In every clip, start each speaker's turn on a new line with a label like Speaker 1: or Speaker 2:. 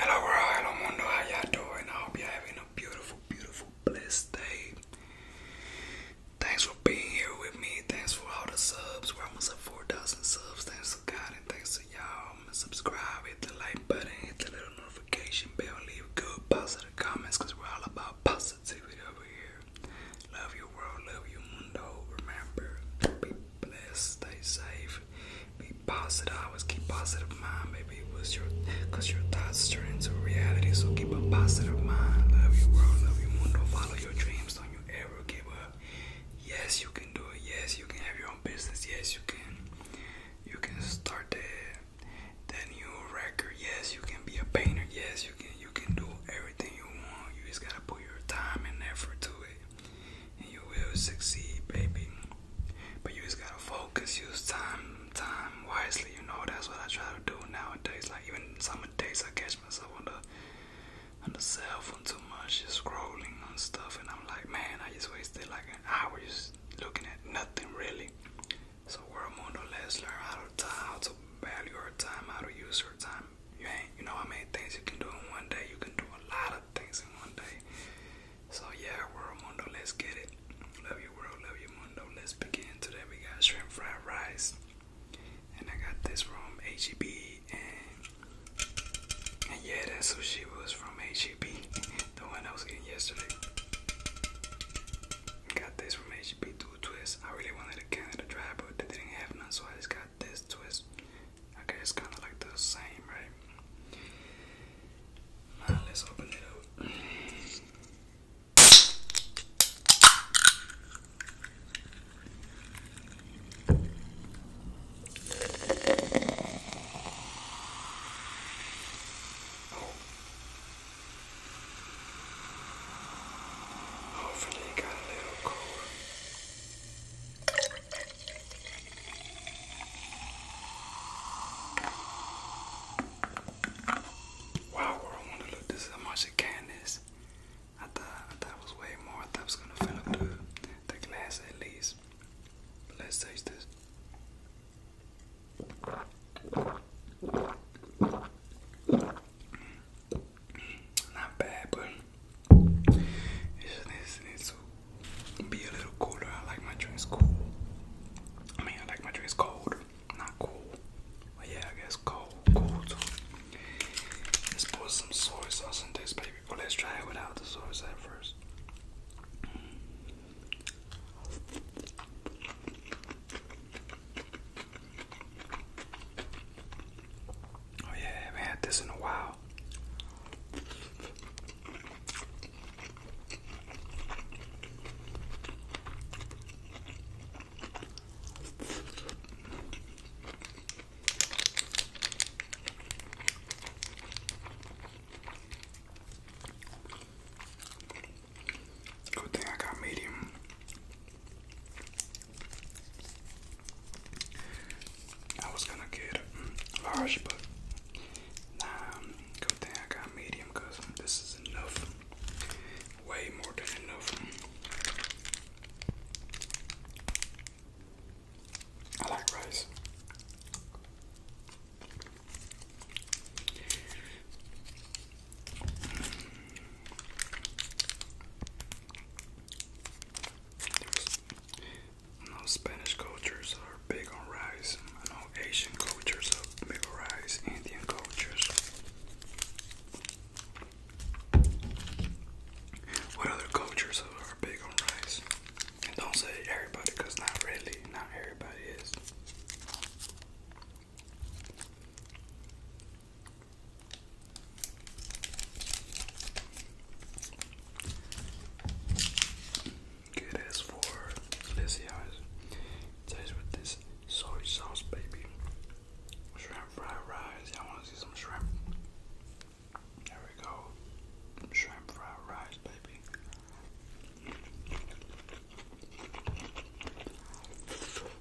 Speaker 1: Hello world, hello mundo, how y'all doing? I hope you're having a beautiful, beautiful, blessed day. Thanks for being here with me. Thanks for all the subs. We're almost at 4,000 subs. Thanks to God and thanks to y'all. Subscribe, hit the like button, hit the little notification bell, leave good positive comments because we're all about positivity over here. Love you world, love you mundo. Remember, blessed, stay safe, be positive, always keep positive mind, Maybe it was your, cause your thoughts turn into reality, so keep a positive mind, love your world, love your mundo, follow your dreams, don't you ever give up, yes, you can do it, yes, you can have your own business, yes, you can, you can start that, that new record, yes, you can be a painter, yes, you can, you can do everything you want, you just gotta put your time and effort to it, and you will succeed, baby. But you just gotta focus, use time, time wisely. You know that's what I try to do nowadays. Like even some days I catch myself on the on the cell phone too much, just scrolling on stuff, and I'm like, man, I just wasted like an hour just looking at nothing really. So we're more or less learn how to how to value our time, how to use our time. You ain't, you know how many things you can do in one day. You can do a lot of things in one day. So yeah, world mundo, let's get it. Love your world, love your mundo. Let's begin. Today we got shrimp fried rice, and I got this from HEB, and, and yeah, that sushi was from HEB, the one I was getting yesterday. Got this from HEB Dual Twist. I really wanted a Canada dry, but they didn't have none, so I just got this twist. Okay, it's kind of like the same, right? let's open it up. Hopefully, it got a little cold. Wow, I want to look. This is how much it can is. I thought, I thought it was way more. I thought it was going to fill up the, the glass at least. let's taste this. Mm, not bad, but be a little cooler. I like my drinks cool. I mean, I like my drinks cold, not cool. But yeah, I guess cold, cool Let's put some soy sauce in this baby. Well, let's try it without the soy sauce first. Oh yeah, I haven't had this in a while. Good thing I got medium. I was gonna get mm, large, but nah, good thing I got medium because this is enough. Way more than enough. I like rice. You Spanish cultures are big on rice. I Asian cultures are big on rice. Indian cultures. What other cultures are big on rice? And don't say everybody, cause not really, not everybody is. Good as for Lizzie Eyes. Taste with this soy sauce, baby. Shrimp fried rice. you wanna see some shrimp? There we go. Shrimp fried rice, baby.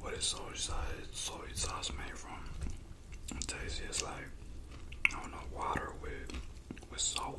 Speaker 1: What is soy sauce? Soy sauce made from? It tastes just like I don't know water with with salt.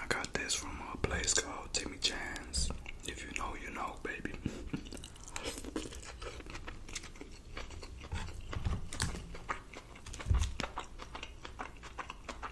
Speaker 1: I got this from a place called Timmy Chance. If you know, you know, baby.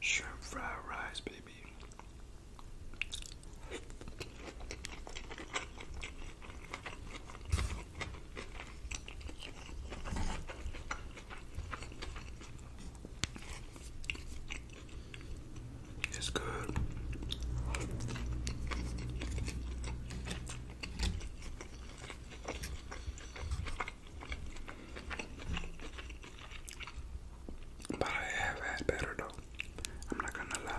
Speaker 1: Shrimp fried rice, baby. It's good. But I have had better though. I'm not gonna lie.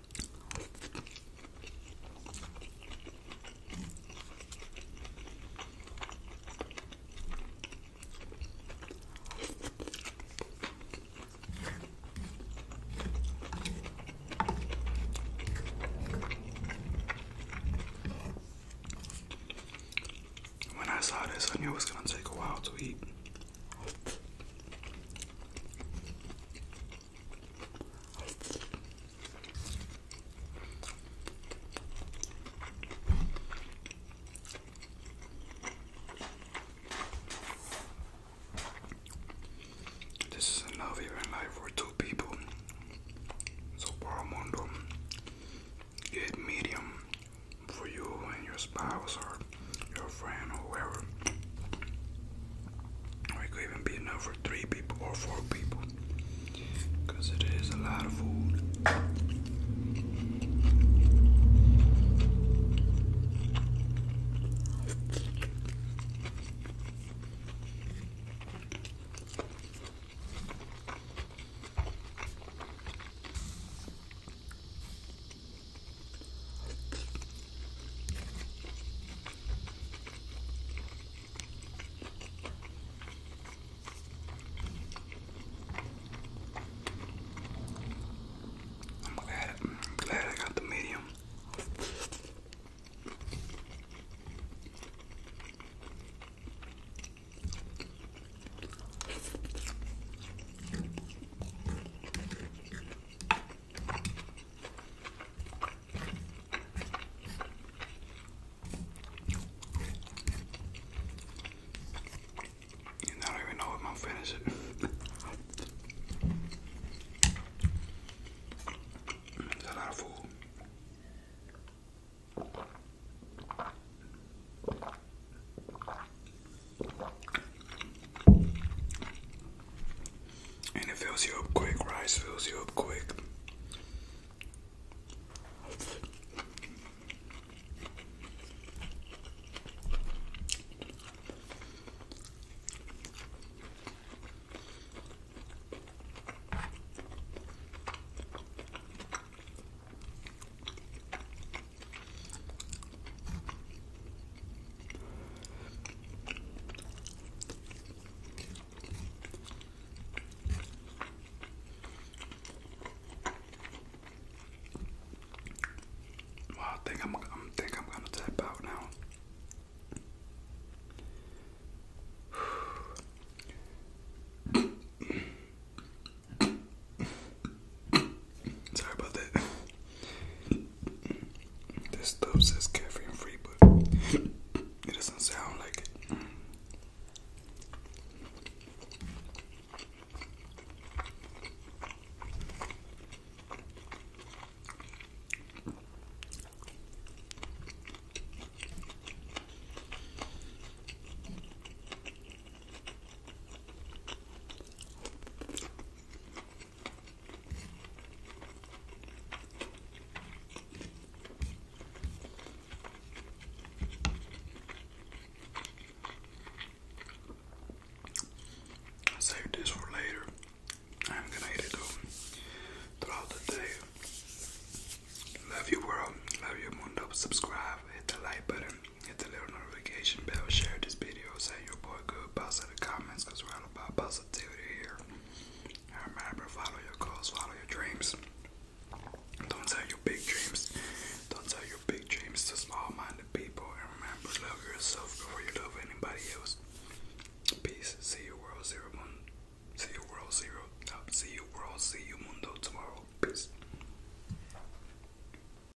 Speaker 1: When I saw this, I knew it was gonna take a while to eat. This is enough even life for two people. So Paramondo, get medium for you and your spouse or friend or whoever. it could even be enough for three people or four people. Because it is a lot of food. I'm glad, glad I got the medium. And I don't even know if I'm finished. It's a lot of food. And it fills you up quick. Rice fills you up quick. I think I'm, i think I'm gonna tap out now. Sorry about that. This stuff says caffeine free, but it doesn't sound like it. I this for later. I'm gonna eat it though throughout the day. Love you world, love you mundo. Subscribe, hit the like button, Hit the little notification bell, share this video, say your boy good, positive comments, cause we're all about positivity here. And remember, follow your goals, follow your dreams. Don't tell your big dreams. Don't tell your big dreams to small-minded people. And remember, love yourself before you love anybody else. Peace. See you, world zero one. See you, world zero. Uh, see you, world. See you, mundo tomorrow. Peace.